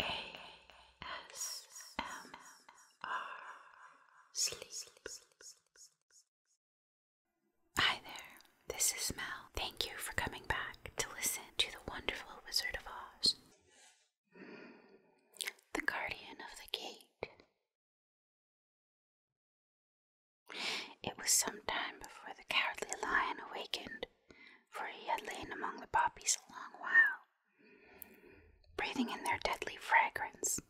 Hi there, this is Mel. Thank you for coming back to listen to The Wonderful Wizard of Oz. The Guardian of the Gate. It was some time before the cowardly lion awakened for he had lain among the poppies a long while, breathing in their deadly fragrance.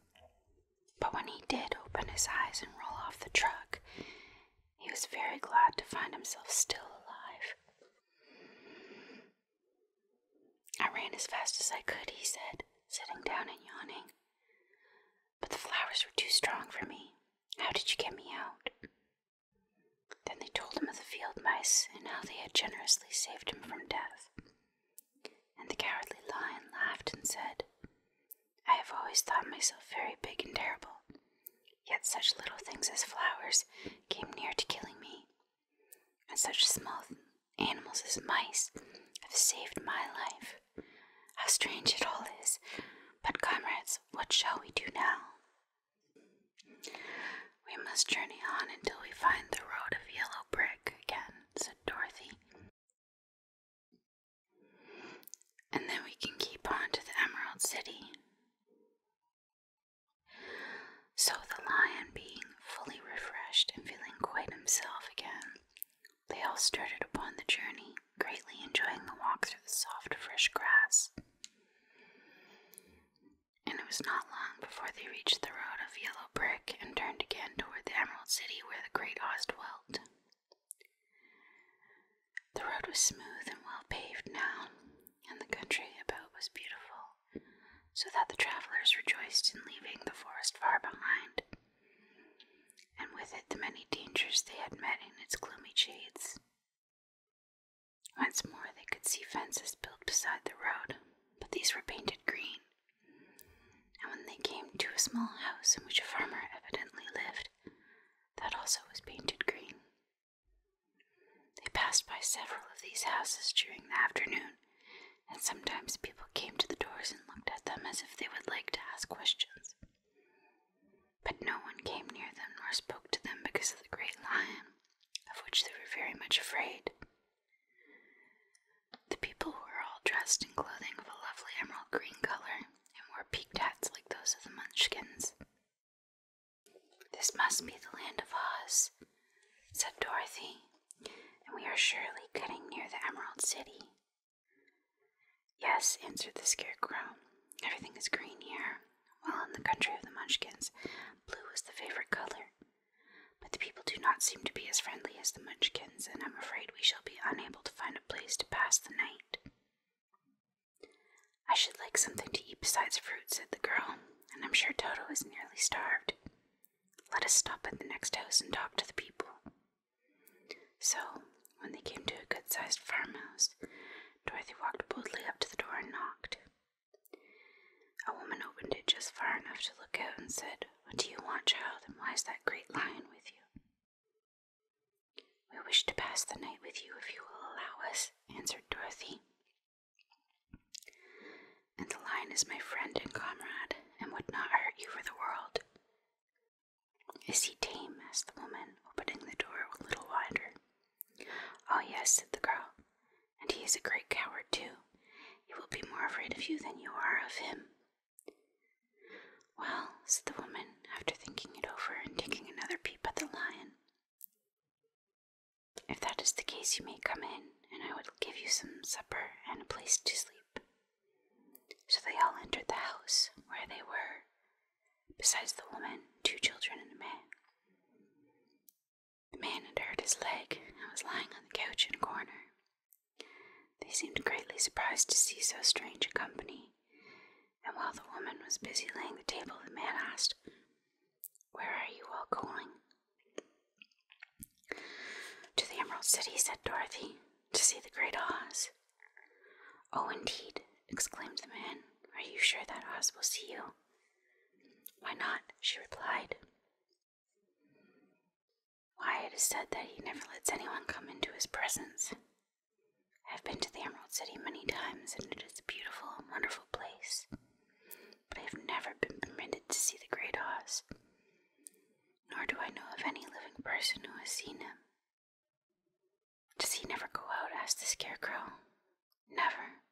But when he did open his eyes and roll off the truck, he was very glad to find himself still alive. I ran as fast as I could, he said, sitting down and yawning. But the flowers were too strong for me. How did you get me out? Then they told him of the field mice and how they had generously saved him from death. And the cowardly lion laughed and said, I have always thought myself very big and terrible, yet such little things as flowers came near to killing me, and such small animals as mice have saved my life. How strange it all is! But, comrades, what shall we do now? We must journey on until we find the road of yellow brick again, said Dorothy. And then we can keep on to the Emerald City. So the lion, being fully refreshed and feeling quite himself again, they all started upon the journey, greatly enjoying the walk through the soft, fresh grass. And it was not long before they reached the road of yellow brick and turned again toward the Emerald City where the great Oz dwelt. The road was smooth and well paved now, and the country about was beautiful, so that the travelers rejoiced in leaving the forest far behind, and with it the many dangers they had met in its gloomy shades. Once more they could see fences built beside the road, but these were painted green. And when they came to a small house in which a farmer evidently lived, that also was painted green. They passed by several of these houses during the afternoon, and sometimes people came to the doors and looked at them as if they would like to ask questions. But no one came near them nor spoke to them because of the great lion, of which they were very much afraid. The people were all dressed in clothing of a lovely emerald green color and wore peaked hats like those of the Munchkins. This must be the land of Oz, said Dorothy, and we are surely getting near the Emerald City. Yes, answered the Scarecrow. Everything is green here, while in the country of the Munchkins, blue was the favorite color. But the people do not seem to be as friendly as the Munchkins, and I'm afraid we shall be unable to find a place to pass the night. I should like something to eat besides fruit, said the girl, and I'm sure Toto is nearly starved. Let us stop at the next house and talk to the people. So, when they came to a good sized farmhouse, Dorothy walked boldly up to the door and knocked. A woman opened it just far enough to look out and said, What do you want, child, and why is that great lion with you? We wish to pass the night with you if you will allow us, answered Dorothy. And the lion is my friend and comrade, and would not hurt you for the world. Is he tame? asked the woman, opening the door a little wider. Oh, yes, said the girl. And he is a great coward, too. He will be more afraid of you than you are of him. Well, said the woman, after thinking it over and taking another peep at the lion, if that is the case, you may come in, and I will give you some supper and a place to sleep. So they all entered the house where they were, Besides the woman, two children and a man. The man had hurt his leg and was lying on the couch in a corner. They seemed greatly surprised to see so strange a company, and while the woman was busy laying the table, the man asked, Where are you all going? To the Emerald City, said Dorothy, to see the great Oz. Oh, indeed, exclaimed the man. Are you sure that Oz will see you? Why not? she replied. Why, it is said that he never lets anyone come into his presence. I have been to the Emerald City many times, and it is a beautiful wonderful place. But I have never been permitted to see the Great Oz, nor do I know of any living person who has seen him. Does he never go out? asked the Scarecrow. Never.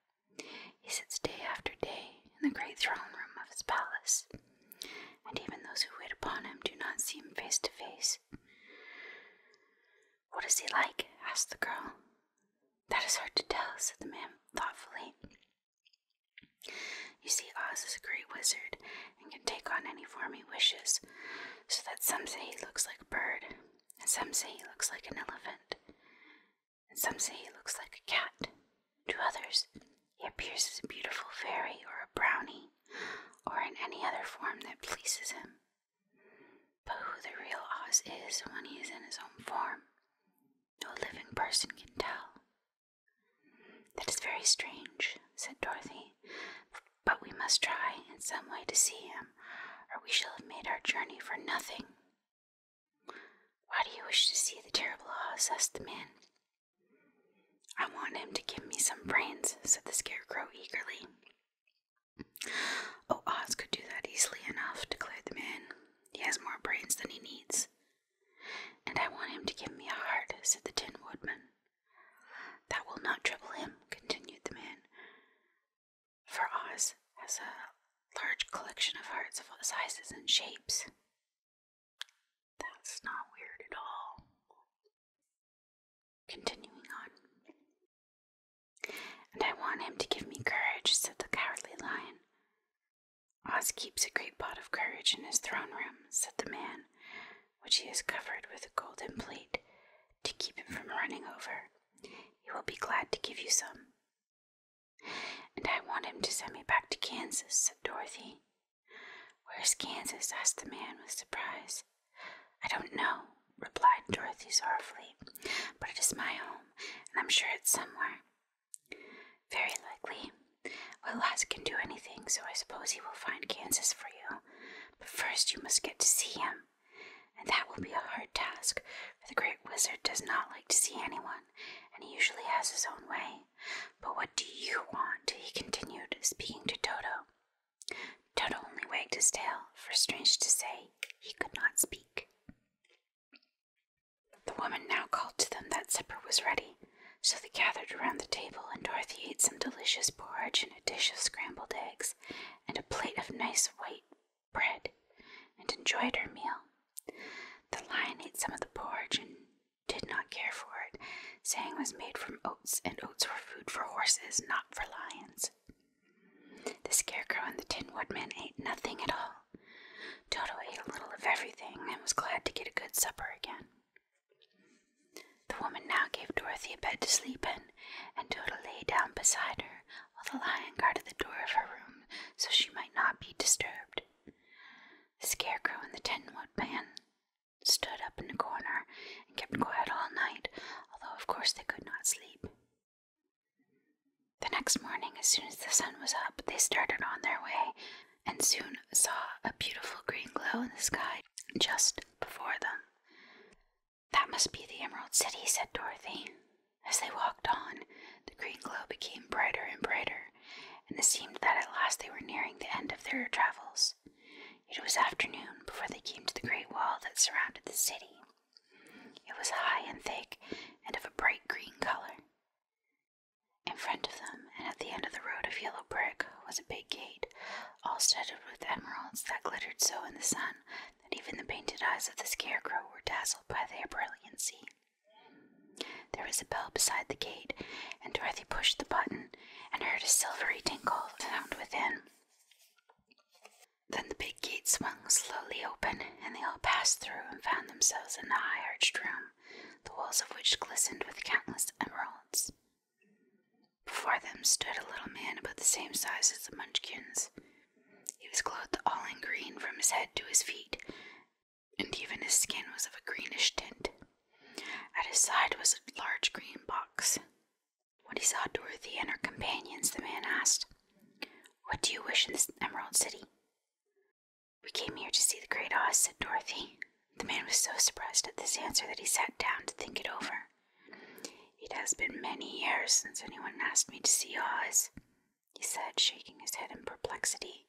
He sits day after day in the great throne room of his palace, and even those who wait upon him do not see him face to face. What is he like? asked the girl. That is hard to tell, said the man thoughtfully. You see, Oz is a great wizard and can take on any form he wishes, so that some say he looks like a bird, and some say he looks like an elephant, and some say he looks like a cat. To others, he appears as a beautiful fairy or a brownie, or in any other form that pleases him. But who the real Oz is when he is in his own form, no living person can tell. That is very strange, said Dorothy, but we must try in some way to see him, or we shall have made our journey for nothing. Why do you wish to see the terrible Oz? asked the man. I want him to give me some brains, said the scarecrow eagerly. Oh, Oz could do that easily enough, declared the man. He has more brains than he needs. And I want him to give me a heart, said the Tin Woodman. That will not trouble him, continued the man. For Oz has a large collection of hearts of all sizes and shapes. That's not weird at all. Continuing on. And I want him to give me courage, said the cowardly lion. Oz keeps a great pot of courage in his throne room, said the man, which he has covered with a golden plate to keep him from running over. He will be glad to give you some. And I want him to send me back to Kansas, said Dorothy. Where's Kansas? asked the man with surprise. I don't know, replied Dorothy sorrowfully, but it is my home, and I'm sure it's somewhere. Very likely. Well, Lass can do anything, so I suppose he will find Kansas for you. But first you must get to see him and that will be a hard task, for the great wizard does not like to see anyone, and he usually has his own way. But what do you want? he continued, speaking to Toto. Toto only wagged his tail, for strange to say, he could not speak. The woman now called to them that supper was ready, so they gathered around the table, and Dorothy ate some delicious porridge and a dish of scrambled eggs, and a plate of nice white bread and enjoyed her meal. The lion ate some of the porridge and did not care for it, saying it was made from oats and oats were food for horses, not for lions. The scarecrow and the tin woodman ate nothing at all. Toto ate a little of everything and was glad to get a good supper again. The woman now gave Dorothy a bed to sleep in, and Toto lay down beside her, while the lion guarded the door of her room so she might not be disturbed. The scarecrow and the tin woodman stood up in a corner and kept quiet all night, although of course they could not sleep. The next morning, as soon as the sun was up, they started on their way and soon saw a beautiful green glow in the sky just before them. That must be the Emerald City, said Dorothy. As they walked on, the green glow became brighter and brighter, and it seemed that at last they were nearing the end of their travels. It was afternoon before they came to the great wall that surrounded the city. It was high and thick, and of a bright green color. In front of them, and at the end of the road of yellow brick, was a big gate, all studded with emeralds that glittered so in the sun that even the painted eyes of the scarecrow were dazzled by their brilliancy. There was a bell beside the gate, and Dorothy pushed the button and heard a silvery tinkle sound within. Then the big gate swung slowly open, and they all passed through and found themselves in a high arched room, the walls of which glistened with countless emeralds. Before them stood a little man about the same size as the Munchkins. He was clothed all in green from his head to his feet, and even his skin was of a greenish tint. At his side was a large green box. When he saw Dorothy and her companions, the man asked, What do you wish in this Emerald City? We came here to see the Great Oz, said Dorothy. The man was so surprised at this answer that he sat down to think it over. It has been many years since anyone asked me to see Oz, he said, shaking his head in perplexity.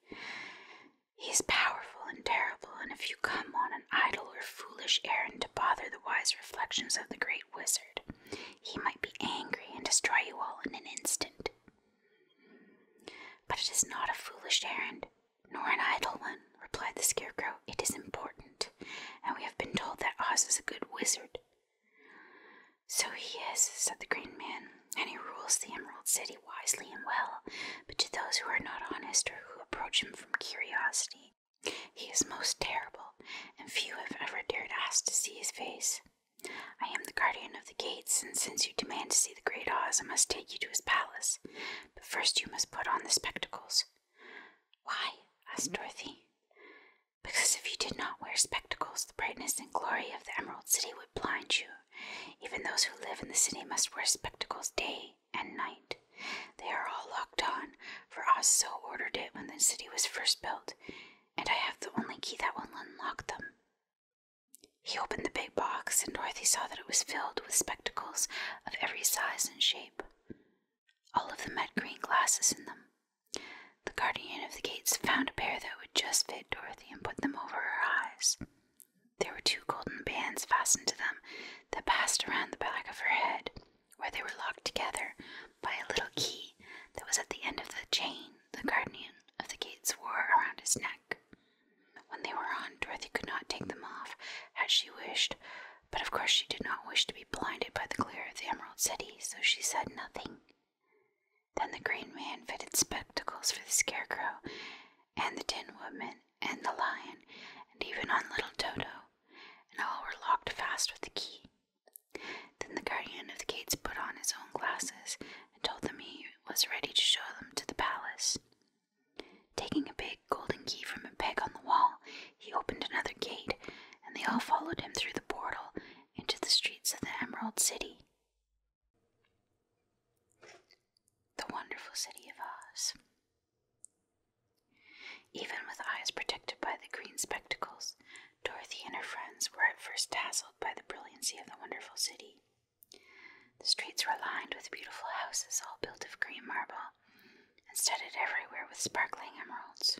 He is powerful and terrible, and if you come on an idle or foolish errand to bother the wise reflections of the great wizard, he might be angry and destroy you all in an instant. But it is not a foolish errand, nor an idle one, replied the Scarecrow. It is important, and we have been told that Oz is a good wizard. So he is, said the Green Man, and he rules the Emerald City wisely and well, but to those who are not honest or who approach him from curiosity, he is most terrible, and few have ever dared ask to see his face. I am the guardian of the gates, and since you demand to see the great Oz, I must take you to his palace. But first you must put on the spectacles. Why? asked Dorothy because if you did not wear spectacles, the brightness and glory of the Emerald City would blind you. Even those who live in the city must wear spectacles day and night. They are all locked on, for Oz so ordered it when the city was first built, and I have the only key that will unlock them. He opened the big box, and Dorothy saw that it was filled with spectacles of every size and shape. All of them had green glasses in them. The guardian of the gates found a pair that would just fit Dorothy and put them over her eyes. There were two golden bands fastened to them that passed around the back of her head, where they were locked together by a little key that was at the end of the chain the guardian of the gates wore around his neck. When they were on, Dorothy could not take them off as she wished, but of course, she did not wish to be blinded by the glare of the Emerald City, so she said nothing. Then the Green Man fitted spectacles for the Scarecrow, and the Tin Woodman, and the Lion, and even on little Toto, and all were locked fast with the key. Then the Guardian of the Gates put on his own glasses and told them he was ready to show them to the palace. Taking a big golden key from a peg on the wall, he opened another gate, and they all followed him through the portal into the streets of the Emerald City. The wonderful city of Oz. Even with eyes protected by the green spectacles, Dorothy and her friends were at first dazzled by the brilliancy of the wonderful city. The streets were lined with beautiful houses all built of green marble and studded everywhere with sparkling emeralds.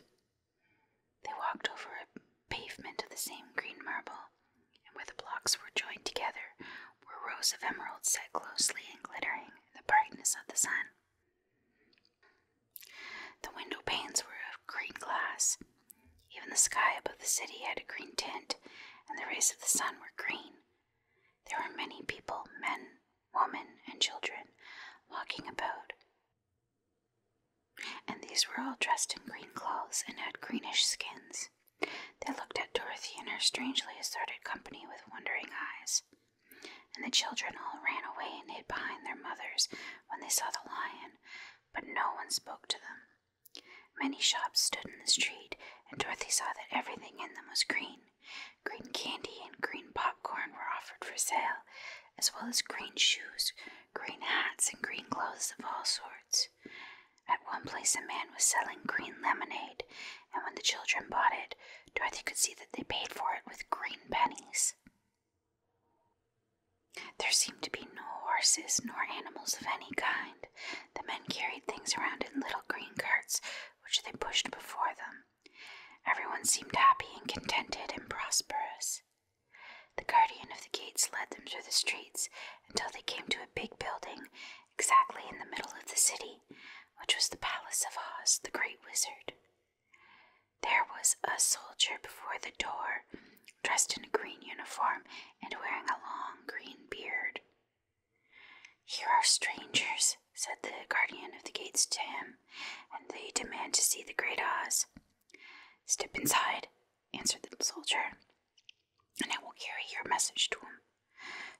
They walked over a pavement of the same green marble, and where the blocks were joined together were rows of emeralds set closely and glittering in the brightness of the sun. The window panes were of green glass. Even the sky above the city had a green tint, and the rays of the sun were green. There were many people, men, women, and children, walking about. And these were all dressed in green clothes and had greenish skins. They looked at Dorothy and her strangely assorted company with wondering eyes. And the children all ran away and hid behind their mothers when they saw the lion, but no one spoke to them. Many shops stood in the street, and Dorothy saw that everything in them was green. Green candy and green popcorn were offered for sale, as well as green shoes, green hats, and green clothes of all sorts. At one place, a man was selling green lemonade, and when the children bought it, Dorothy could see that they paid for it with green pennies. There seemed to be no horses nor animals of any kind. The men carried things around in little green carts, which they pushed before them. Everyone seemed happy and contented and prosperous. The guardian of the gates led them through the streets until they came to a big building exactly in the middle of the city, which was the palace of Oz, the great wizard. There was a soldier before the door, dressed in a green uniform and wearing a long green beard. Here are strangers, said the guardian of the gates to him and they demand to see the great Oz. Step inside, answered the soldier, and I will carry your message to him.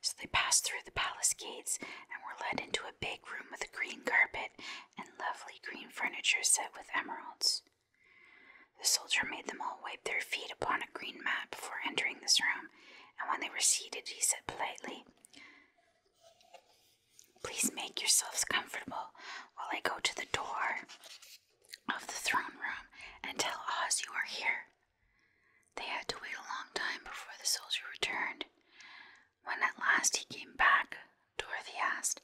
So they passed through the palace gates and were led into a big room with a green carpet and lovely green furniture set with emeralds. The soldier made them all wipe their feet upon a green mat before entering this room, and when they were seated, he said politely, Please make yourselves comfortable while I go to the door of the throne room and tell Oz you are here. They had to wait a long time before the soldier returned. When at last he came back, Dorothy asked,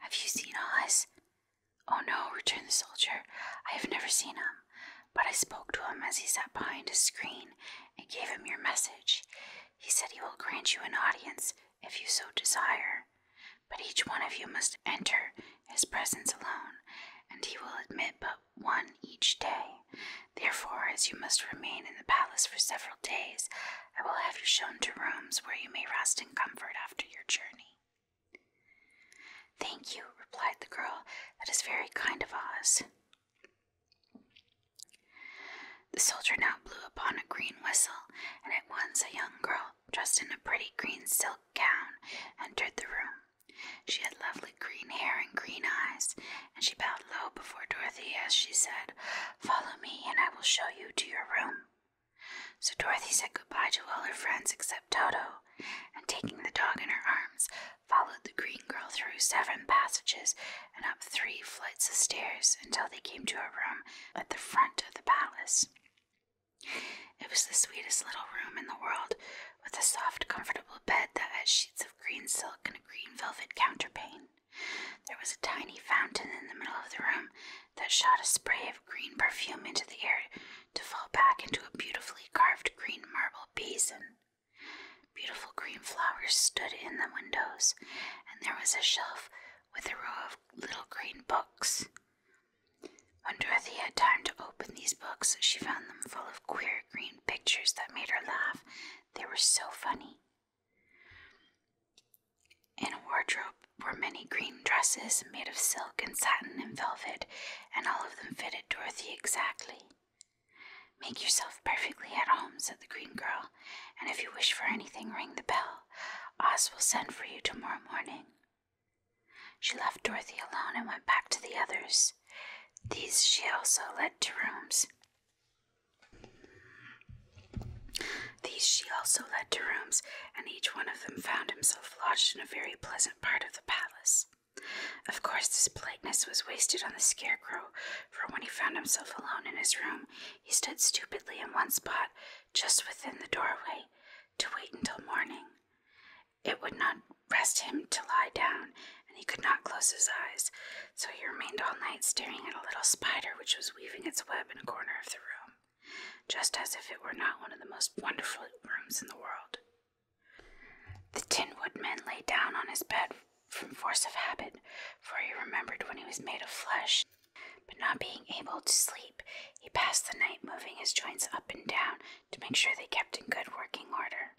Have you seen Oz? Oh no, returned the soldier. I have never seen him, but I spoke to him as he sat behind a screen and gave him your message. He said he will grant you an audience if you so desire, but each one of you must enter his presence alone, and he will admit but one each day. Therefore, as you must remain in the palace for several days, I will have you shown to rooms where you may rest in comfort after your journey. Thank you, replied the girl. That is very kind of Oz." The soldier now blew upon a green whistle, and at once a young girl, dressed in a pretty green silk gown, entered the room. She had lovely green hair and green eyes, and she bowed low before Dorothy as she said, Follow me, and I will show you to your room. So Dorothy said goodbye to all her friends except Toto, and taking the dog in her arms, followed the green girl through seven passages and up three flights of stairs until they came to a room at the front of the palace. It was the sweetest little room in the world, with a soft, comfortable bed that had sheets of green silk and a green velvet counterpane. There was a tiny fountain in the middle of the room that shot a spray of green perfume into the air to fall back into a beautifully carved green marble basin. Beautiful green flowers stood in the windows, and there was a shelf with a row of little green books. When Dorothy had time to open these books, she found them full of queer green pictures that made her laugh. They were so funny. In a wardrobe were many green dresses made of silk and satin and velvet, and all of them fitted Dorothy exactly. Make yourself perfectly at home, said the green girl and if you wish for anything, ring the bell. Oz will send for you tomorrow morning. She left Dorothy alone and went back to the others. These she also led to rooms. These she also led to rooms, and each one of them found himself lodged in a very pleasant part of the palace. Of course, this politeness was wasted on the scarecrow, for when he found himself alone in his room, he stood stupidly in one spot, just within the doorway, to wait until morning. It would not rest him to lie down, and he could not close his eyes, so he remained all night staring at a little spider which was weaving its web in a corner of the room, just as if it were not one of the most wonderful rooms in the world. The Tin Woodman lay down on his bed from force of habit, for he remembered when he was made of flesh. But not being able to sleep, he passed the night moving his joints up and down to make sure they kept in good working order.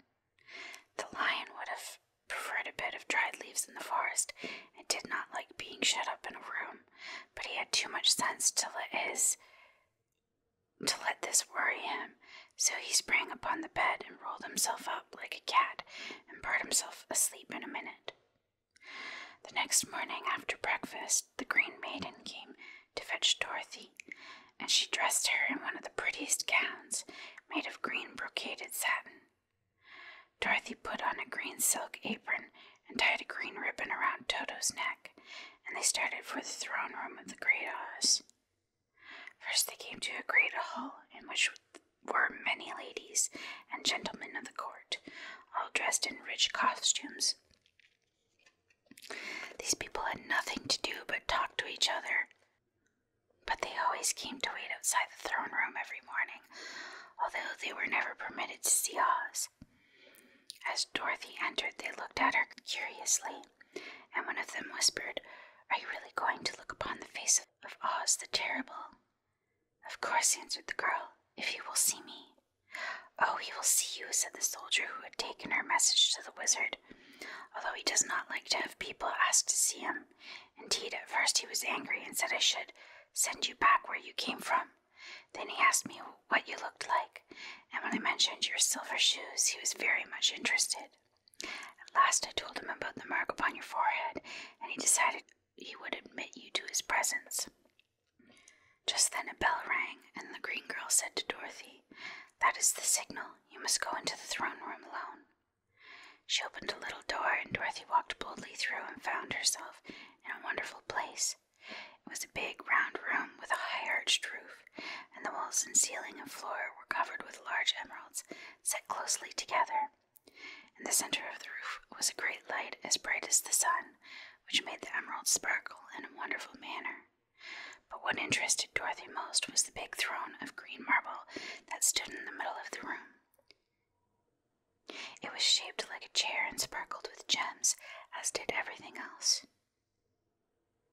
The lion would have preferred a bed of dried leaves in the forest and did not like being shut up in a room, but he had too much sense to let his to let this worry him, so he sprang upon the bed and rolled himself up like a cat and brought himself asleep in a minute. The next morning after breakfast, the Green Maiden came to fetch Dorothy, and she dressed her in one of the prettiest gowns made of green brocaded satin. Dorothy put on a green silk apron and tied a green ribbon around Toto's neck, and they started for the throne room of the Great Oz. First, they came to a great hall in which were many ladies and gentlemen of the court, all dressed in rich costumes. These people had nothing to do but talk to each other. But they always came to wait outside the throne room every morning, although they were never permitted to see Oz. As Dorothy entered, they looked at her curiously, and one of them whispered, Are you really going to look upon the face of Oz the Terrible? Of course, answered the girl, if he will see me. Oh, he will see you, said the soldier who had taken her message to the wizard, although he does not like to have people ask to see him. Indeed, at first he was angry and said I should send you back where you came from. Then he asked me what you looked like, and when I mentioned your silver shoes, he was very much interested. At last I told him about the mark upon your forehead, and he decided he would admit you to his presence. Just then a bell rang, and the green girl said to Dorothy, That is the signal. You must go into the throne room alone. She opened a little door, and Dorothy walked boldly through and found herself in a wonderful place. It was a big, round room with a high arched roof, and the walls and ceiling and floor were covered with large emeralds set closely together. In the center of the roof was a great light as bright as the sun, which made the emeralds sparkle in a wonderful manner. But what interested Dorothy most was the big throne of green marble that stood in the middle of the room. It was shaped like a chair and sparkled with gems, as did everything else.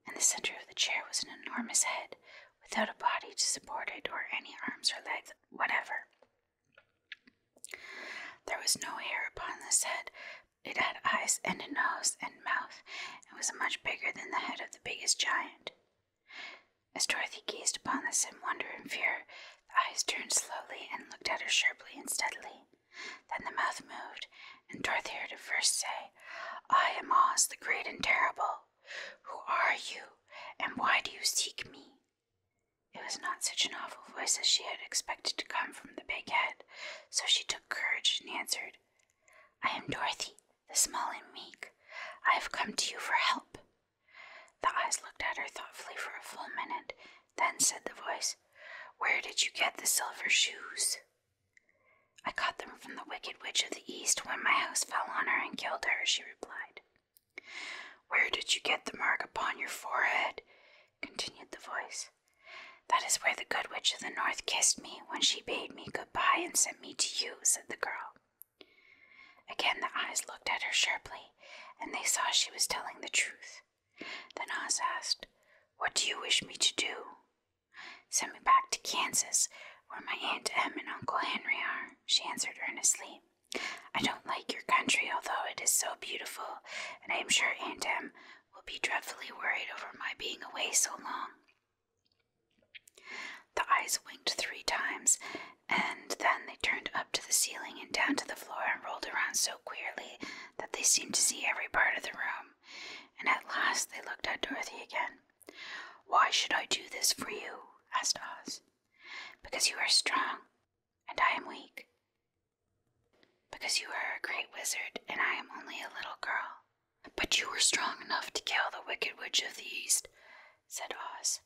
In the center of the chair was an enormous head, without a body to support it or any arms or legs whatever. There was no hair upon this head. It had eyes and a nose and mouth, and was much bigger than the head of the biggest giant. As Dorothy gazed upon this in wonder and fear, the eyes turned slowly and looked at her sharply and steadily. Then the mouth moved, and Dorothy heard it first say, I am Oz the Great and Terrible. Who are you, and why do you seek me? It was not such an awful voice as she had expected to come from the big head, so she took courage and answered, I am Dorothy, the small and meek. I have come to you for help. The eyes looked at her thoughtfully for a full minute, then said the voice, Where did you get the silver shoes? I got them from the wicked witch of the east when my house fell on her and killed her, she replied. Where did you get the mark upon your forehead? continued the voice. That is where the good witch of the north kissed me when she bade me good by and sent me to you, said the girl. Again the eyes looked at her sharply, and they saw she was telling the truth. Then Oz asked, What do you wish me to do? Send me back to Kansas, where my Aunt Em and Uncle Henry are, she answered earnestly. I don't like your country, although it is so beautiful, and I am sure Aunt Em will be dreadfully worried over my being away so long. The eyes winked three times, and then they turned up to the ceiling and down to the floor and rolled around so queerly that they seemed to see every part of the room. And at last they looked at Dorothy again. Why should I do this for you? asked Oz. Because you are strong, and I am weak. Because you are a great wizard, and I am only a little girl. But you were strong enough to kill the Wicked Witch of the East, said Oz.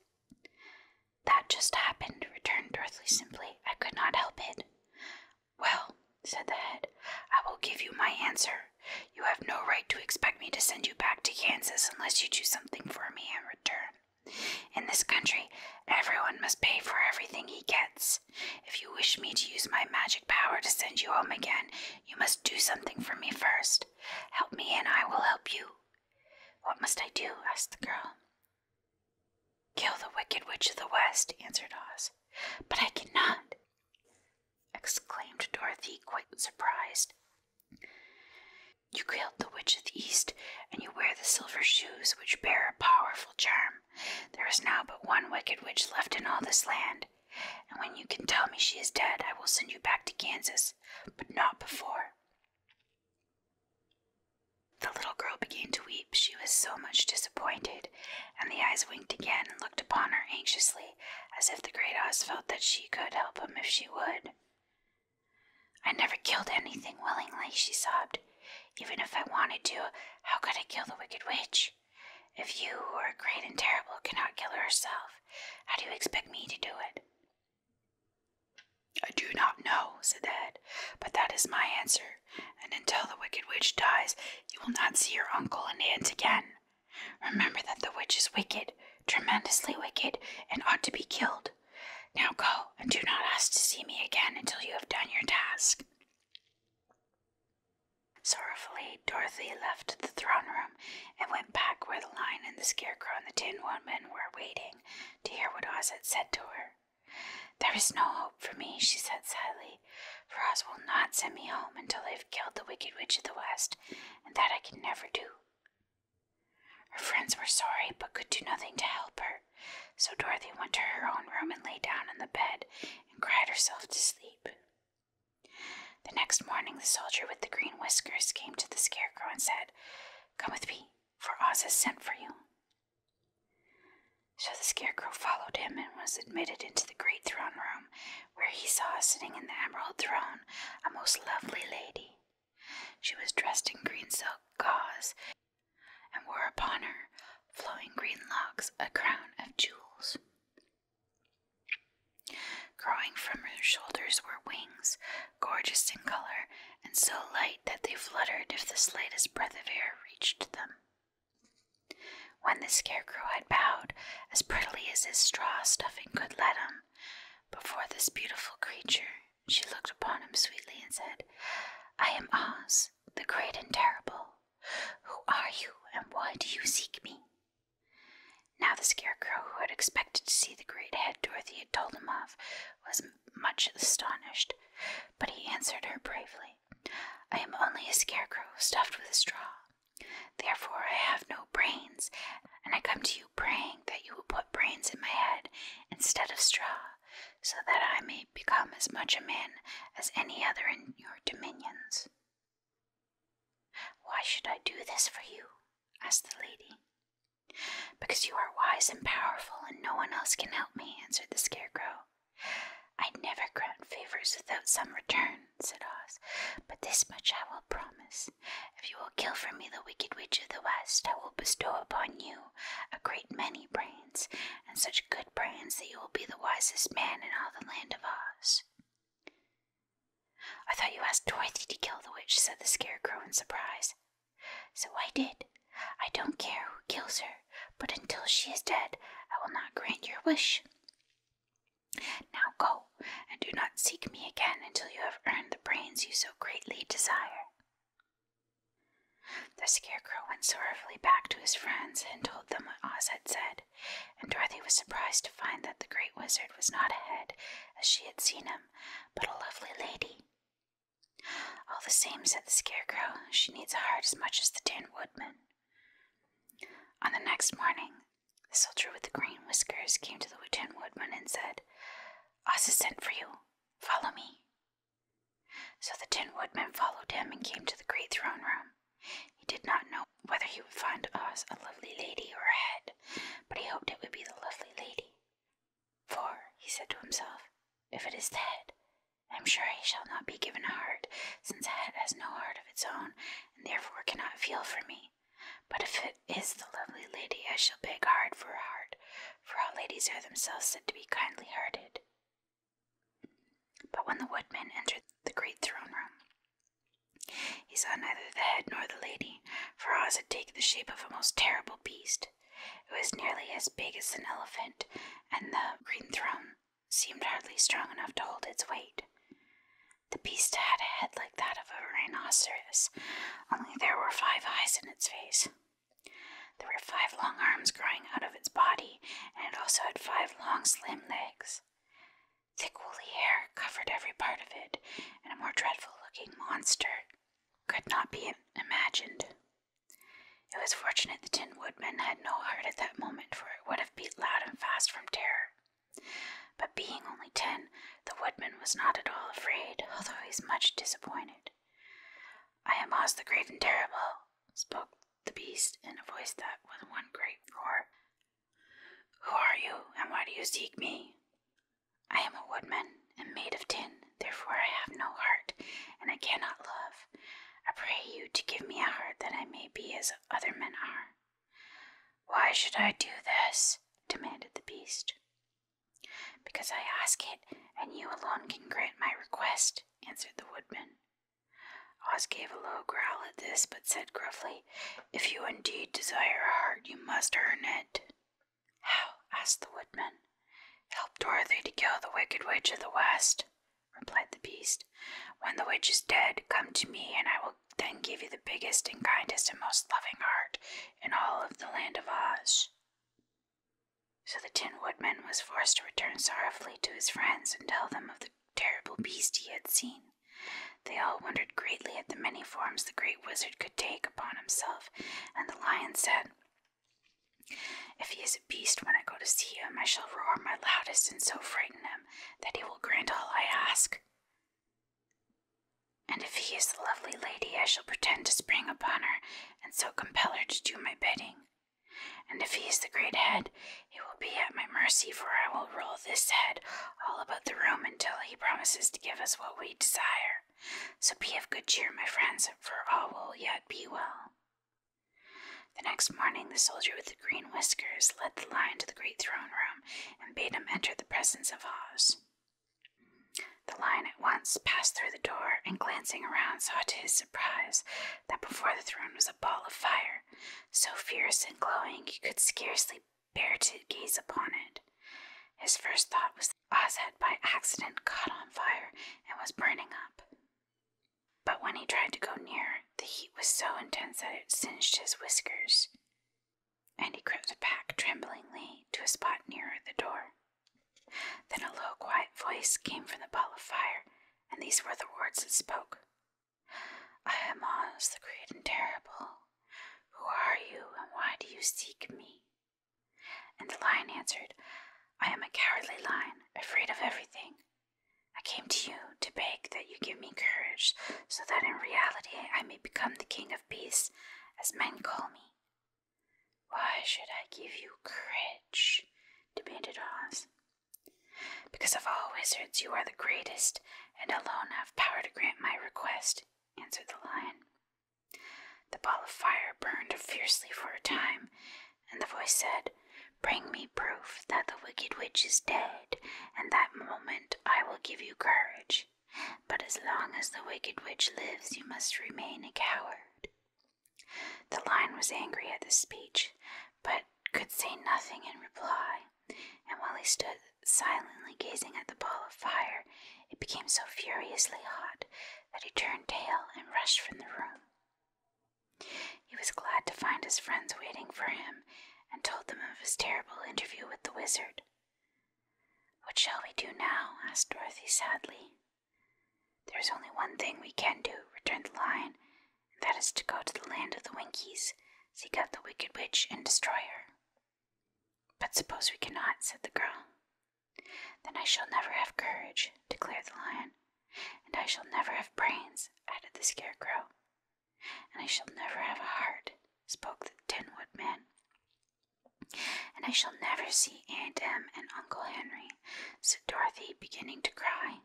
That just happened, returned Dorothy simply. I could not help it. Well, said the head, I will give you my answer. You have no right to expect me to send you back to Kansas unless you do something for me in return. In this country, everyone must pay for everything he gets. If you wish me to use my magic power to send you home again, you must do something for me first. Help me, and I will help you. What must I do? asked the girl. Kill the wicked witch of the west, answered Oz. But I cannot, exclaimed Dorothy, quite surprised. You killed the Witch of the East, and you wear the silver shoes which bear a powerful charm. There is now but one wicked witch left in all this land, and when you can tell me she is dead, I will send you back to Kansas, but not before. The little girl began to weep. She was so much disappointed, and the eyes winked again and looked upon her anxiously, as if the great Oz felt that she could help him if she would. I never killed anything willingly, she sobbed. Even if I wanted to, how could I kill the wicked witch? If you, who are great and terrible, cannot kill her herself, how do you expect me to do it? I do not know, said the head, but that is my answer, and until the wicked witch dies, you will not see your uncle and aunt again. Remember that the witch is wicked, tremendously wicked, and ought to be killed. Now go, and do not ask to see me again until you have done your task. Sorrowfully, Dorothy left the throne room and went back where the lion and the scarecrow and the tin woodman were waiting to hear what Oz had said to her. There is no hope for me, she said sadly, for Oz will not send me home until I have killed the Wicked Witch of the West, and that I can never do. Her friends were sorry but could do nothing to help her, so Dorothy went to her own room and lay down on the bed and cried herself to sleep. The next morning, the soldier with the green whiskers came to the scarecrow and said, Come with me, for Oz has sent for you. So the scarecrow followed him and was admitted into the great throne room, where he saw sitting on the emerald throne a most lovely lady. She was dressed in green silk gauze and wore upon her flowing green locks a crown of jewels. Growing from her shoulders were wings, gorgeous in color and so light that they fluttered if the slightest breath of air reached them. When the scarecrow had bowed, as prettily as his straw stuffing could let him, before this beautiful creature, she looked upon him sweetly and said, I am Oz, the great and terrible. Who are you, and why do you seek me? Now the scarecrow, who had expected to see the great head Dorothy had told him of, was much astonished, but he answered her bravely, I am only a scarecrow stuffed with straw. Therefore, I have no brains, and I come to you praying that you will put brains in my head instead of straw, so that I may become as much a man as any other in your dominions. Why should I do this for you? asked the lady. Because you are wise and powerful, and no one else can help me, answered the scarecrow. i never grant favors without some return, said Oz, but this much I will promise. If you will kill for me the wicked witch of the west, I will bestow upon you a great many brains, and such good brains that you will be the wisest man in all the land of Oz. I thought you asked Dorothy to kill the witch, said the Scarecrow in surprise. So I did. I don't care who kills her, but until she is dead, I will not grant your wish. Now go and do not seek me again until you have earned the brains you so greatly desire. The scarecrow went sorrowfully back to his friends and told them what Oz had said, and Dorothy was surprised to find that the great wizard was not a head, as she had seen him, but a lovely lady. All the same, said the scarecrow, she needs a heart as much as the Tin Woodman. On the next morning, the soldier with the green whiskers came to the Tin Woodman and said, has sent for you. Follow me. So the Tin Woodman followed him and came to the great throne room. He did not know whether he would find Oz a lovely lady or a head, but he hoped it would be the lovely lady. For, he said to himself, if it is a head, I am sure I shall not be given a heart, since a head has no heart of its own, and therefore cannot feel for me. But if it is the lovely lady, I shall beg hard for her heart, for all ladies are themselves said to be kindly hearted. But when the woodman entered the great throne room, he saw neither the head nor the lady, for Oz had taken the shape of a most terrible beast. It was nearly as big as an elephant, and the green throne seemed hardly strong enough to hold its weight. The beast had a head like that of a rhinoceros, only there were five eyes in its face. There were five long arms growing out of its body, and it also had five long, slim legs. Thick woolly hair covered every part of it, and a more dreadful looking monster could not be imagined. It was fortunate the Tin Woodman had no heart at that moment, for it would have beat loud and fast from terror. But being only ten, the woodman was not at all afraid, although he was much disappointed. I am Oz the Great and Terrible, spoke the beast in a voice that was one great roar. Who are you, and why do you seek me? I am a woodman, and made of tin, therefore I have no heart, and I cannot love. I pray you to give me a heart that I may be as other men are. Why should I do this? demanded the beast. Because I ask it, and you alone can grant my request, answered the woodman. Oz gave a low growl at this, but said gruffly, If you indeed desire a heart, you must earn it. How? asked the woodman. Help Dorothy to kill the wicked witch of the west, replied the beast. When the witch is dead, come to me, and I will then give you the biggest and kindest and most loving heart in all of the land of Oz. So the Tin Woodman was forced to return sorrowfully to his friends and tell them of the terrible beast he had seen. They all wondered greatly at the many forms the great wizard could take upon himself, and the lion said, If he is a beast, when I go to see him, I shall roar my loudest and so frighten him that he will grant all I ask. And if he is the lovely lady, I shall pretend to spring upon her and so compel her to do my bidding. And if he is the great head, he will be at my mercy, for I will roll this head all about the room until he promises to give us what we desire. So be of good cheer, my friends, for all will yet be well. The next morning, the soldier with the green whiskers led the lion to the great throne room and bade him enter the presence of Oz. The lion at once passed through the door and, glancing around, saw to his surprise that before the throne was a ball of fire, so fierce and glowing he could scarcely bear to gaze upon it. His first thought was that Oz had by accident caught on fire and was burning up. But when he tried to go near, the heat was so intense that it singed his whiskers and he crept back tremblingly to a spot nearer the door. Then a low, quiet voice came from the ball of fire, and these were the words that spoke I am Oz the Great and Terrible. Who are you, and why do you seek me? And the lion answered, I am a cowardly lion, afraid of everything. I came to you to beg that you give me courage so that in reality I may become the king of peace, as men call me. Why should I give you courage? demanded Oz. Because of all wizards, you are the greatest, and alone have power to grant my request, answered the lion. The ball of fire burned fiercely for a time, and the voice said, Bring me proof that the wicked witch is dead, and that moment I will give you courage. But as long as the wicked witch lives, you must remain a coward. The lion was angry at this speech, but could say nothing in reply, and while he stood silently gazing at the ball of fire, it became so furiously hot that he turned tail and rushed from the room. He was glad to find his friends waiting for him, and told them of his terrible interview with the wizard. What shall we do now? asked Dorothy sadly. There is only one thing we can do, returned the lion, and that is to go to the land of the Winkies, seek out the wicked witch, and destroy her. But suppose we cannot, said the girl. Then I shall never have courage, declared the lion, and I shall never have brains, added the scarecrow. And I shall never have a heart, spoke the Tin Woodman. And I shall never see Aunt Em and Uncle Henry, said Dorothy, beginning to cry.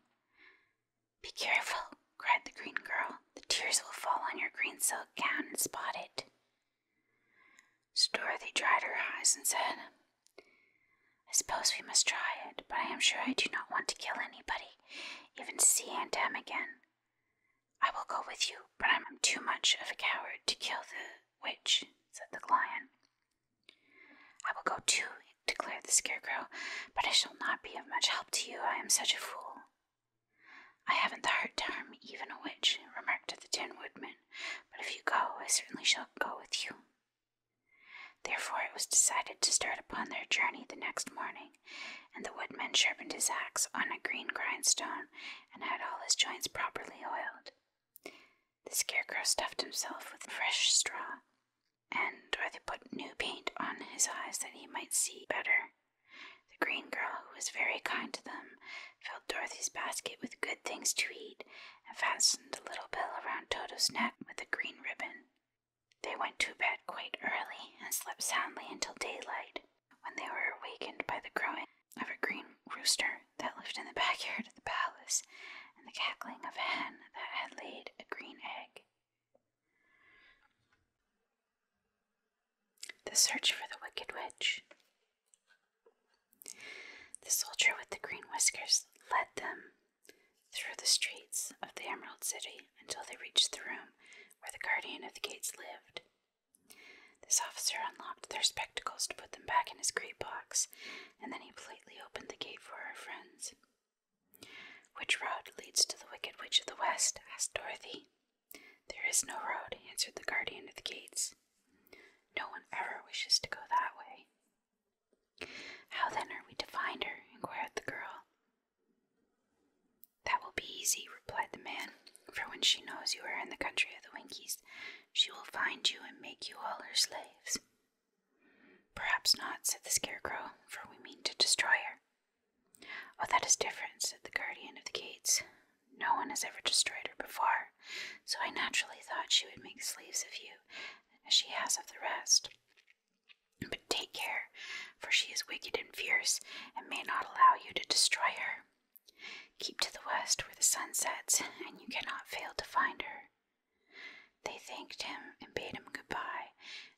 Be careful, cried the green girl. The tears will fall on your green silk gown and spot it. So Dorothy dried her eyes and said, I suppose we must try it, but I am sure I do not want to kill anybody, even to see Aunt Em again. I will go with you, but I am too much of a coward to kill the witch, said the lion. I will go too, declared the scarecrow, but I shall not be of much help to you. I am such a fool. I haven't the heart to harm even a witch, remarked the Tin Woodman, but if you go, I certainly shall go with you. Therefore, it was decided to start upon their journey the next morning, and the woodman sharpened his axe on a green grindstone and had all his joints properly oiled. The scarecrow stuffed himself with fresh straw, and Dorothy put new paint on his eyes that he might see better. The green girl, who was very kind to them, filled Dorothy's basket with good things to eat and fastened a little bell around Toto's neck with a green ribbon. They went to bed quite early and slept soundly until daylight. When they were awakened by the crowing of a green rooster that lived in the backyard of the palace, and the cackling of a hen that had laid a green egg. The search for the wicked witch. The soldier with the green whiskers led them through the streets of the Emerald City until they reached the room where the guardian of the gates lived. This officer unlocked their spectacles to put them back in his great box, and then he politely opened the gate for our friends. Which road leads to the Wicked Witch of the West? asked Dorothy. There is no road, answered the guardian of the gates. No one ever wishes to go that way. How then are we to find her? inquired the girl. That will be easy, replied the man, for when she knows you are in the country of the Winkies, she will find you and make you all her slaves. Perhaps not, said the Scarecrow, for we mean to destroy her. Oh, that is different, said the guardian of the gates. No one has ever destroyed her before, so I naturally thought she would make slaves of you, as she has of the rest. But take care, for she is wicked and fierce, and may not allow you to destroy her. Keep to the west where the sun sets, and you cannot fail to find her. They thanked him and bade him good bye,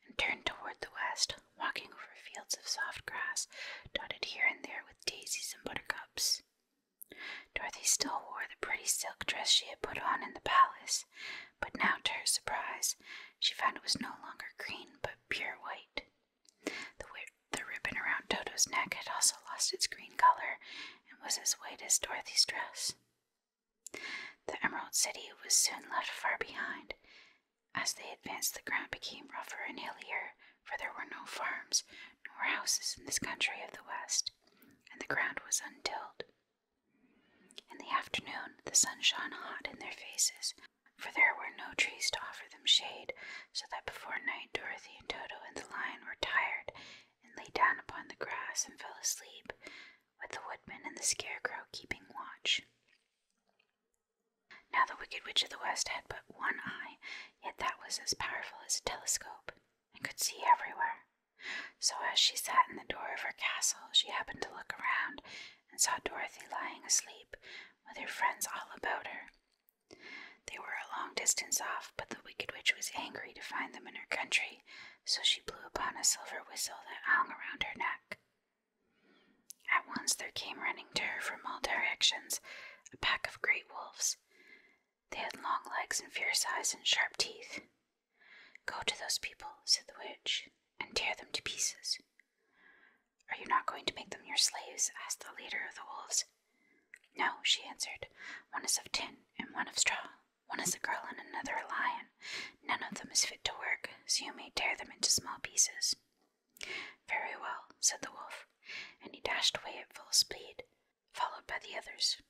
and turned toward the west, walking over fields of soft grass dotted here and there with daisies and buttercups. Dorothy still wore the pretty silk dress she had put on in the palace, but now to her surprise, she found it was no longer green but pure white. The, ribbon around Toto's neck had also lost its green color and was as white as Dorothy's dress. The Emerald City was soon left far behind. As they advanced, the ground became rougher and hillier, for there were no farms nor houses in this country of the West, and the ground was untilled. In the afternoon, the sun shone hot in their faces, for there were no trees to offer them shade, so that before night Dorothy and Toto and the lion were tired and lay down upon the grass and fell asleep, with the woodman and the scarecrow keeping watch. Now the Wicked Witch of the West had but one eye, yet that was as powerful as a telescope, and could see everywhere. So as she sat in the door of her castle, she happened to look around and saw Dorothy lying asleep, with her friends all about her, they were a long distance off, but the Wicked Witch was angry to find them in her country, so she blew upon a silver whistle that hung around her neck. At once there came running to her from all directions a pack of great wolves. They had long legs and fierce eyes and sharp teeth. Go to those people, said the witch, and tear them to pieces. Are you not going to make them your slaves? asked the leader of the wolves. No, she answered. One is of tin and one of straw. One is a girl and another a lion. None of them is fit to work, so you may tear them into small pieces. Very well, said the wolf, and he dashed away at full speed, followed by the others.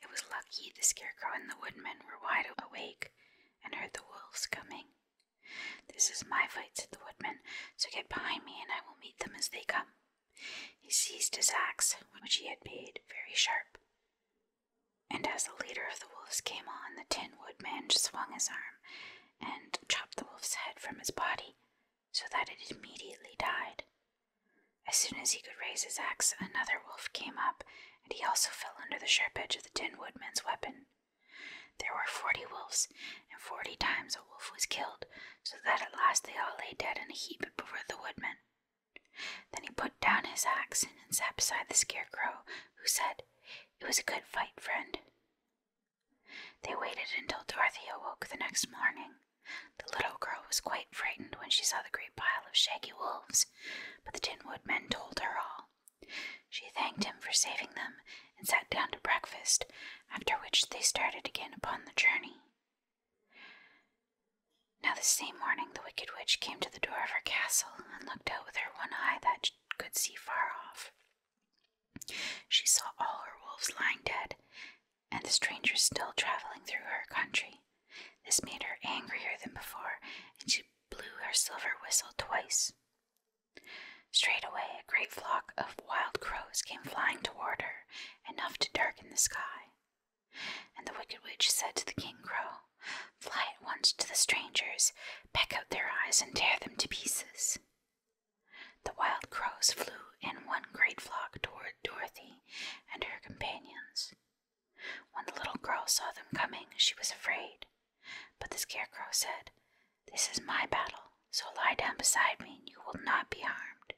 It was lucky the scarecrow and the woodman were wide awake and heard the wolves coming. This is my fight, said the woodman, so get behind me, and I will meet them as they come. He seized his axe, which he had made very sharp. And as the leader of the wolves came on, the Tin Woodman swung his arm and chopped the wolf's head from his body, so that it immediately died. As soon as he could raise his axe, another wolf came up, and he also fell under the sharp edge of the Tin Woodman's weapon. There were forty wolves, and forty times a wolf was killed, so that at last they all lay dead in a heap before the woodman. Then he put down his axe and sat beside the scarecrow, who said, It was a good fight, friend. They waited until Dorothy awoke the next morning. The little girl was quite frightened when she saw the great pile of shaggy wolves, but the Tin Woodman told her all, she thanked him for saving them and sat down to breakfast, after which they started again upon the journey. Now, the same morning, the Wicked Witch came to the door of her castle and looked out with her one eye that could see far off. She saw all her wolves lying dead, and the strangers still traveling through her country. This made her angrier than before, and she blew her silver whistle twice. Straightway a great flock of wild crows came flying toward her, enough to darken the sky. And the Wicked Witch said to the King Crow, Fly at once to the strangers, peck out their eyes, and tear them to pieces. The wild crows flew in one great flock toward Dorothy and her companions. When the little girl saw them coming, she was afraid, but the scarecrow said, This is my battle, so lie down beside me and you will not be harmed.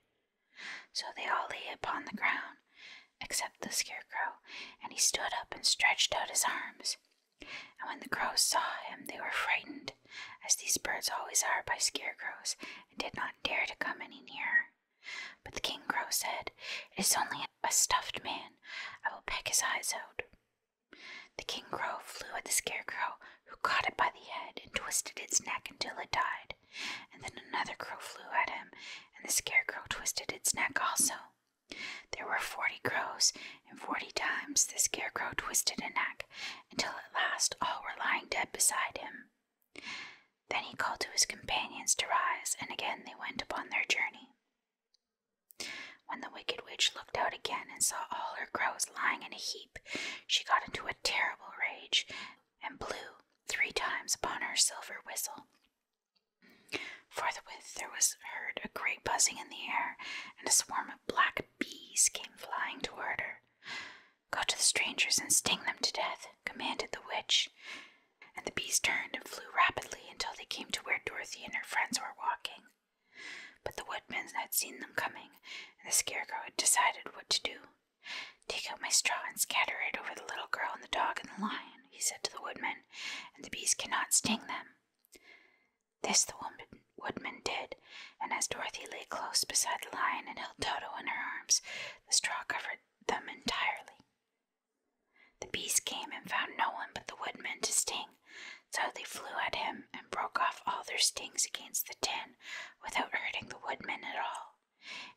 So they all lay upon the ground, except the scarecrow, and he stood up and stretched out his arms. And when the crows saw him, they were frightened, as these birds always are by scarecrows, and did not dare to come any nearer. But the king crow said, It is only a stuffed man. I will peck his eyes out. The king crow flew at the scarecrow, who caught it by the head and twisted its neck until it died, and then another crow flew at him, and the scarecrow twisted its neck also. There were forty crows, and forty times the scarecrow twisted a neck, until at last all were lying dead beside him. Then he called to his companions to rise, and again they went upon their journey. When the wicked witch looked out again and saw all her crows lying in a heap, she got into a terrible rage and blew three times upon her silver whistle. Forthwith there was heard a great buzzing in the air, and a swarm of black bees came flying toward her. Go to the strangers and sting them to death, commanded the witch. And the bees turned and flew rapidly until they came to where Dorothy and her friends were walking. But the woodman had seen them coming, and the scarecrow had decided what to do. Take out my straw and scatter it over the little girl and the dog and the lion, he said to the woodman, and the bees cannot sting them. This the woodman did, and as Dorothy lay close beside the lion and held Toto in her arms, the straw covered them entirely. The bees came and found no one but the woodman to sting, so they flew at him and broke off all their stings against the tin without hurting the woodman at all.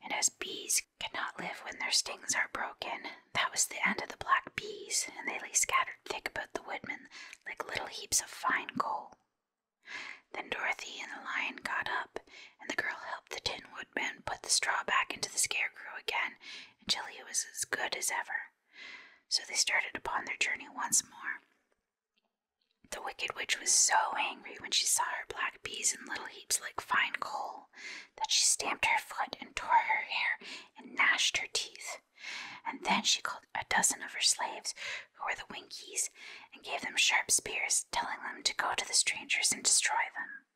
And as bees cannot live when their stings are broken, that was the end of the black bees, and they lay scattered thick about the woodman like little heaps of fine coal. Then Dorothy and the lion got up, and the girl helped the Tin Woodman put the straw back into the scarecrow again until he was as good as ever. So they started upon their journey once more. The wicked witch was so angry when she saw her black bees in little heaps like fine coal that she stamped her foot and tore her hair and gnashed her teeth. And then she called a dozen of her slaves, who were the Winkies, and gave them sharp spears, telling them to go to the strangers and destroy them.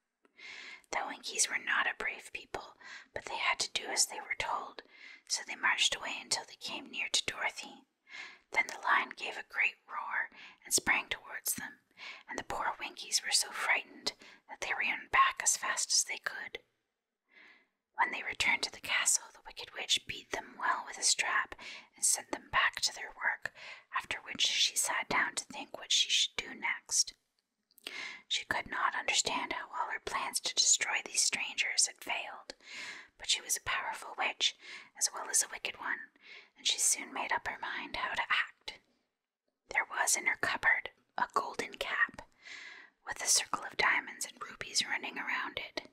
The Winkies were not a brave people, but they had to do as they were told, so they marched away until they came near to Dorothy. Then the lion gave a great roar and sprang towards them, and the poor Winkies were so frightened that they ran back as fast as they could. When they returned to the castle, the Wicked Witch beat them well with a strap and sent them back to their work, after which she sat down to think what she should do next. She could not understand how all her plans to destroy these strangers failed, but she was a powerful witch as well as a wicked one, and she soon made up her mind how to act. There was in her cupboard a golden cap with a circle of diamonds and rubies running around it.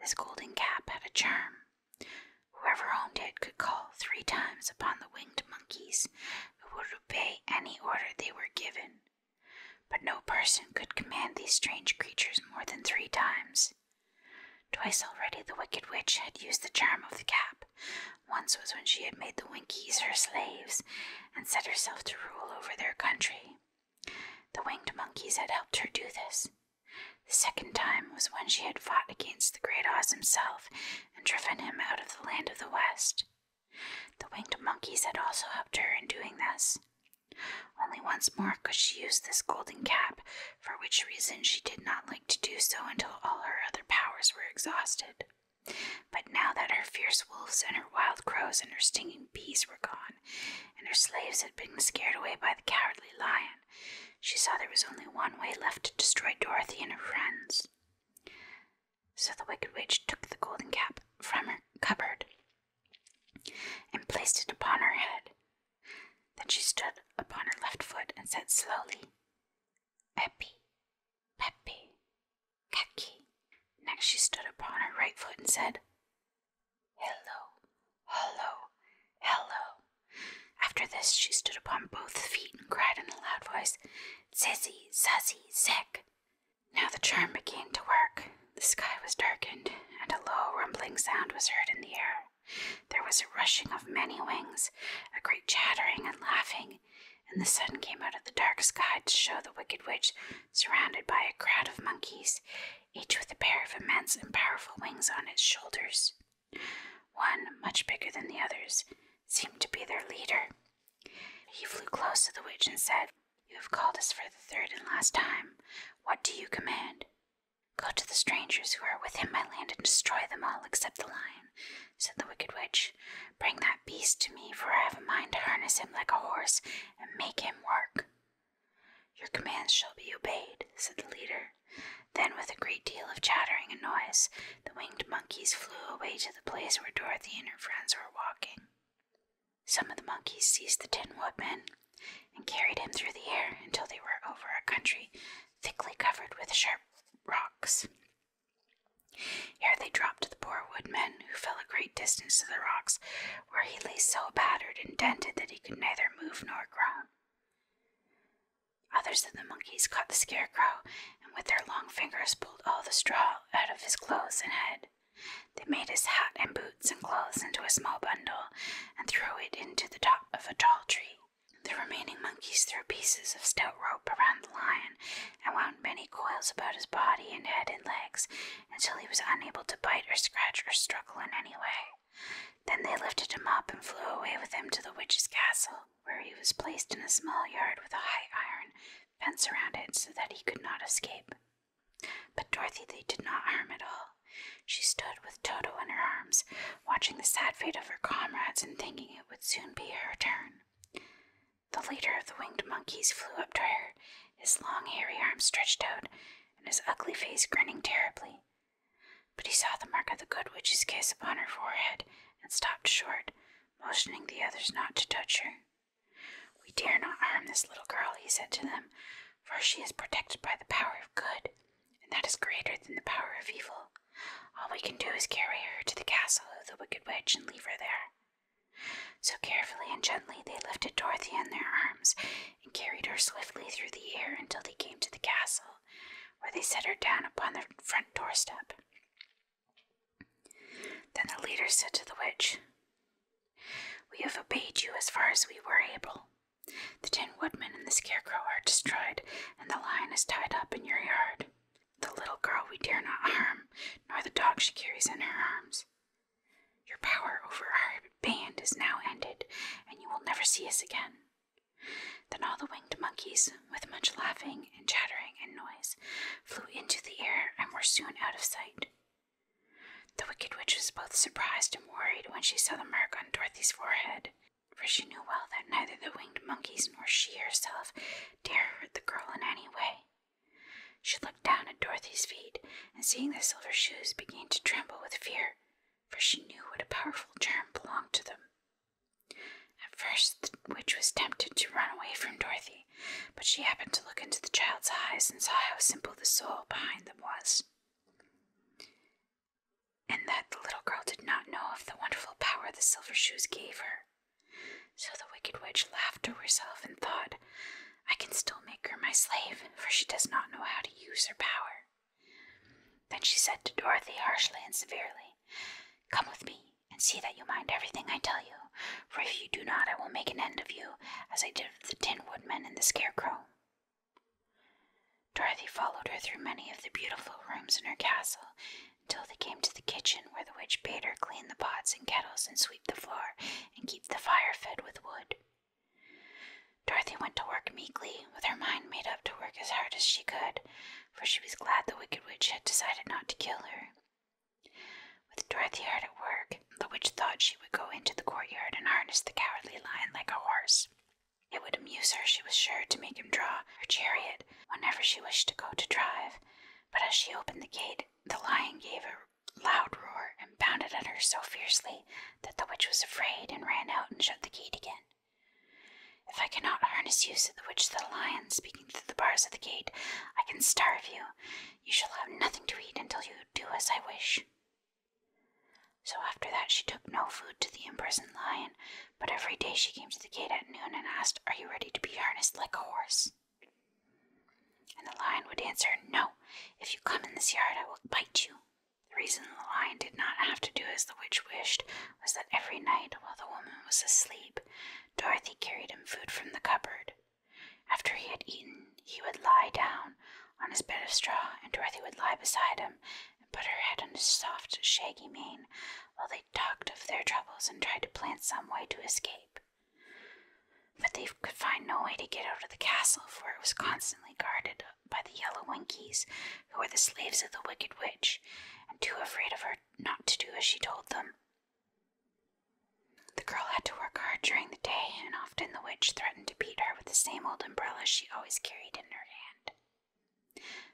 This golden cap had a charm. Whoever owned it could call three times upon the winged monkeys, who would obey any order they were given, but no person could command these strange creatures more than three times. Twice already the Wicked Witch had used the charm of the cap. Once was when she had made the Winkies her slaves and set herself to rule over their country. The winged monkeys had helped her do this. The second time was when she had fought against the Great Oz himself and driven him out of the land of the West. The winged monkeys had also helped her in doing this. Only once more could she use this golden cap, for which reason she did not like to do so until all her other powers were exhausted. But now that her fierce wolves and her wild crows and her stinging bees were gone, and her slaves had been scared away by the cowardly lion, she saw there was only one way left to destroy Dorothy and her friends. So the Wicked Witch took the golden cap from her cupboard and placed it upon her head. Then she stood upon her left foot and said slowly, Peppy, Peppy, Kaki. Next she stood upon her right foot and said, Hello, hello, hello. After this she stood upon both feet and cried in a loud voice, "Sissy, Sissy, Sick." Now the charm began to work. The sky was darkened, and a low rumbling sound was heard in the air. There was a rushing of many wings, a great chattering and laughing, and the sun came out of the dark sky to show the wicked witch surrounded by a crowd of monkeys, each with a pair of immense and powerful wings on its shoulders. One, much bigger than the others, seemed to be their leader. He flew close to the witch and said, you have called us for the third and last time. What do you command? Go to the strangers who are within my land and destroy them all except the lion, said the wicked witch. Bring that beast to me, for I have a mind to harness him like a horse and make him work. Your commands shall be obeyed, said the leader. Then, with a great deal of chattering and noise, the winged monkeys flew away to the place where Dorothy and her friends were walking. Some of the monkeys seized the Tin Woodman and carried him through the air until they were over a country thickly covered with sharp rocks. Here they dropped the poor woodman, who fell a great distance to the rocks, where he lay so battered and dented that he could neither move nor groan. Others of the monkeys caught the scarecrow and with their long fingers pulled all the straw out of his clothes and head. They made his hat and boots and clothes into a small bundle and threw it into the top of a tall tree. The remaining monkeys threw pieces of stout rope around the lion and wound many coils about his body and head and legs until he was unable to bite or scratch or struggle in any way. Then they lifted him up and flew away with him to the witch's castle, where he was placed in a small yard with a high iron fence around it so that he could not escape. But Dorothy they did not harm at all. She stood with Toto in her arms, watching the sad fate of her comrades and thinking it would soon be her turn. The leader of the winged monkeys flew up to her, his long hairy arms stretched out, and his ugly face grinning terribly. But he saw the mark of the good witch's kiss upon her forehead and stopped short, motioning the others not to touch her. We dare not harm this little girl, he said to them, for she is protected by the power of good, and that is greater than the power of evil. All we can do is carry her to the castle of the Wicked Witch and leave her there. So carefully and gently they lifted Dorothy in their arms and carried her swiftly through the air until they came to the castle, where they set her down upon the front doorstep. Then the leader said to the witch, We have obeyed you as far as we were able. The Tin Woodman and the Scarecrow are destroyed, and the lion is tied up in your yard. The little girl we dare not harm, nor the dog she carries in her arms. Your power over our band is now ended, and you will never see us again. Then all the winged monkeys, with much laughing and chattering and noise, flew into the air and were soon out of sight. The Wicked Witch was both surprised and worried when she saw the mark on Dorothy's forehead, for she knew well that neither the winged monkeys nor she herself dared hurt the girl in any way. She looked down at Dorothy's feet, and seeing the silver shoes, began to tremble with fear, for she knew what a powerful charm belonged to them. At first, the witch was tempted to run away from Dorothy but she happened to look into the child's eyes and saw how simple the soul behind them was, and that the little girl did not know of the wonderful power the silver shoes gave her. So the wicked witch laughed to herself and thought, I can still make her my slave, for she does not know how to use her power. Then she said to Dorothy harshly and severely, Come with me, and see that you mind everything I tell you, for if you do not, I will make an end of you, as I did of the Tin Woodman and the Scarecrow. Dorothy followed her through many of the beautiful rooms in her castle until they came to the kitchen, where the witch bade her clean the pots and kettles and sweep the floor and keep the fire fed with wood. Dorothy went to work meekly, with her mind made up to work as hard as she could, for she was glad the Wicked Witch had decided not to kill her. With Dorothy hard at work, the witch thought she would go into the courtyard and harness the cowardly lion like a horse. It would amuse her, she was sure, to make him draw her chariot whenever she wished to go to drive, but as she opened the gate, the lion gave a loud roar and bounded at her so fiercely that the witch was afraid and ran out and shut the gate again. If I cannot harness you, said the witch to the lion, speaking through the bars of the gate, I can starve you, you shall have nothing to eat until you do as I wish. So after that, she took no food to the imprisoned lion, but every day she came to the gate at noon and asked, Are you ready to be harnessed like a horse? And the lion would answer, No, if you come in this yard, I will bite you. The reason the lion did not have to do as the witch wished was that every night, while the woman was asleep, Dorothy carried him food from the cupboard. After he had eaten, he would lie down on his bed of straw, and Dorothy would lie beside him and put her head on his soft, shaggy mane while they talked of their troubles and tried to plan some way to escape. But they could find no way to get out of the castle, for it was constantly guarded by the yellow winkies, who were the slaves of the wicked witch, and too afraid of her not to do as she told them. The girl had to work hard during the day, and often the witch threatened to beat her with the same old umbrella she always carried in her hand.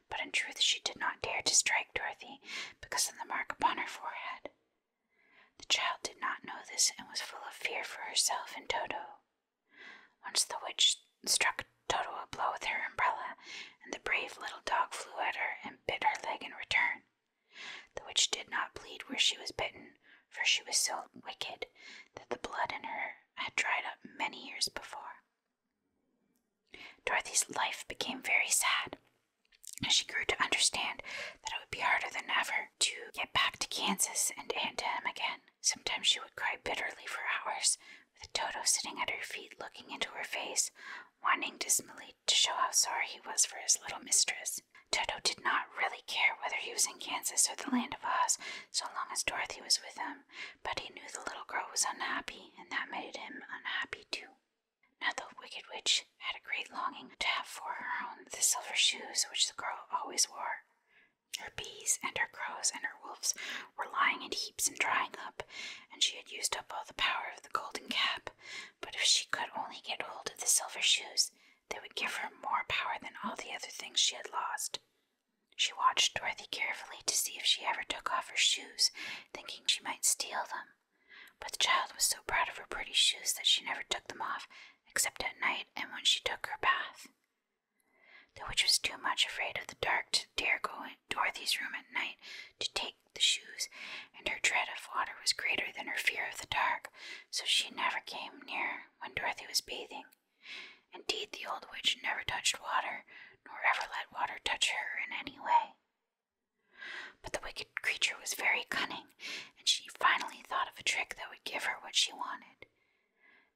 But in truth, she did not dare to strike Dorothy because of the mark upon her forehead. The child did not know this and was full of fear for herself and Toto. Once the witch struck Toto a blow with her umbrella, and the brave little dog flew at her and bit her leg in return. The witch did not bleed where she was bitten, for she was so wicked that the blood in her had dried up many years before. Dorothy's life became very sad as she grew to understand that it would be harder than ever to get back to Kansas and Aunt Em again. Sometimes she would cry bitterly for hours, with Toto sitting at her feet looking into her face, whining dismally to show how sorry he was for his little mistress. Toto did not really care whether he was in Kansas or the land of Oz so long as Dorothy was with him, but he knew the little girl was unhappy, and that made him unhappy too. Now, the Wicked Witch had a great longing to have for her own the silver shoes which the girl always wore. Her bees and her crows and her wolves were lying in heaps and drying up, and she had used up all the power of the golden cap, but if she could only get hold of the silver shoes, they would give her more power than all the other things she had lost. She watched Dorothy carefully to see if she ever took off her shoes, thinking she might steal them. But the child was so proud of her pretty shoes that she never took them off, except at night and when she took her bath. The witch was too much afraid of the dark to dare go into Dorothy's room at night to take the shoes, and her dread of water was greater than her fear of the dark, so she never came near when Dorothy was bathing. Indeed, the old witch never touched water, nor ever let water touch her in any way. But the wicked creature was very cunning, and she finally thought of a trick that would give her what she wanted.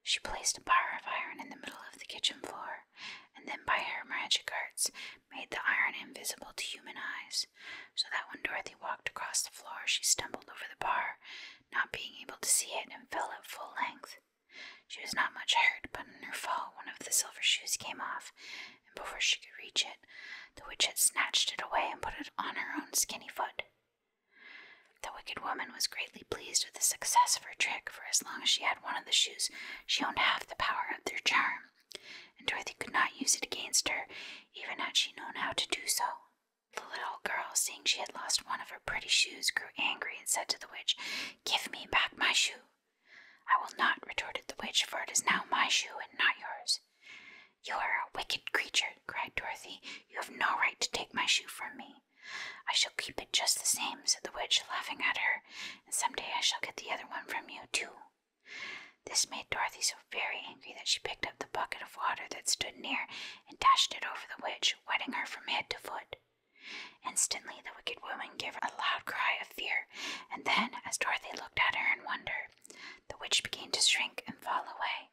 She placed a bar of iron in the middle of the kitchen floor, and then by her magic arts made the iron invisible to human eyes, so that when Dorothy walked across the floor, she stumbled over the bar, not being able to see it, and fell at full length. She was not much hurt, but in her fall, one of the silver shoes came off, and before she could reach it, the witch had snatched it away and put it on her own skinny foot. The wicked woman was greatly pleased with the success of her trick, for as long as she had one of the shoes, she owned half the power of their charm and Dorothy could not use it against her, even had she known how to do so. The little girl, seeing she had lost one of her pretty shoes, grew angry and said to the witch, Give me back my shoe. I will not, retorted the witch, for it is now my shoe and not yours. You are a wicked creature, cried Dorothy. You have no right to take my shoe from me. I shall keep it just the same, said the witch, laughing at her, and some day I shall get the other one from you, too. This made Dorothy so very angry that she picked up the bucket of water that stood near and dashed it over the witch, wetting her from head to foot. Instantly, the wicked woman gave a loud cry of fear, and then, as Dorothy looked at her in wonder, the witch began to shrink and fall away.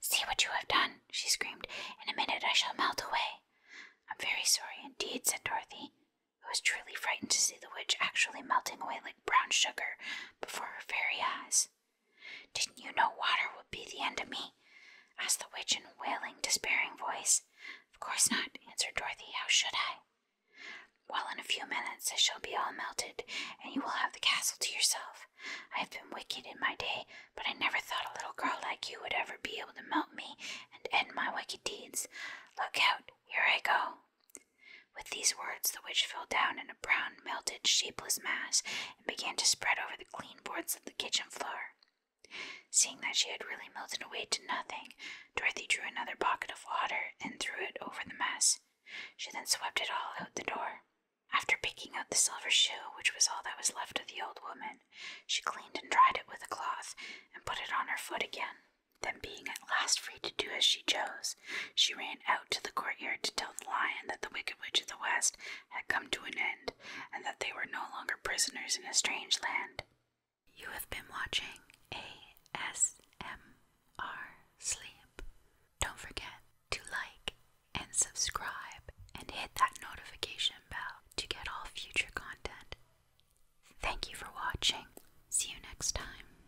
See what you have done, she screamed. In a minute I shall melt away. I'm very sorry indeed, said Dorothy, who was truly frightened to see the witch actually melting away like brown sugar before her very eyes. Didn't you know water would be the end of me? asked the witch in a wailing, despairing voice. Of course not, answered Dorothy. How should I? Well, in a few minutes I shall be all melted, and you will have the castle to yourself. I have been wicked in my day, but I never thought a little girl like you would ever be able to melt me and end my wicked deeds. Look out, here I go, with these words, the witch fell down in a brown, melted, shapeless mass and began to spread over the clean boards of the kitchen floor. Seeing that she had really melted away to nothing, Dorothy drew another bucket of water and threw it over the mess. She then swept it all out the door. After picking out the silver shoe, which was all that was left of the old woman, she cleaned and dried it with a cloth and put it on her foot again. Then, being at last free to do as she chose, she ran out to the courtyard to tell the lion that the Wicked Witch of the West had come to an end, and that they were no longer prisoners in a strange land. You have been watching ASMR Sleep. Don't forget to like and subscribe and hit that notification bell to get all future content. Thank you for watching. See you next time.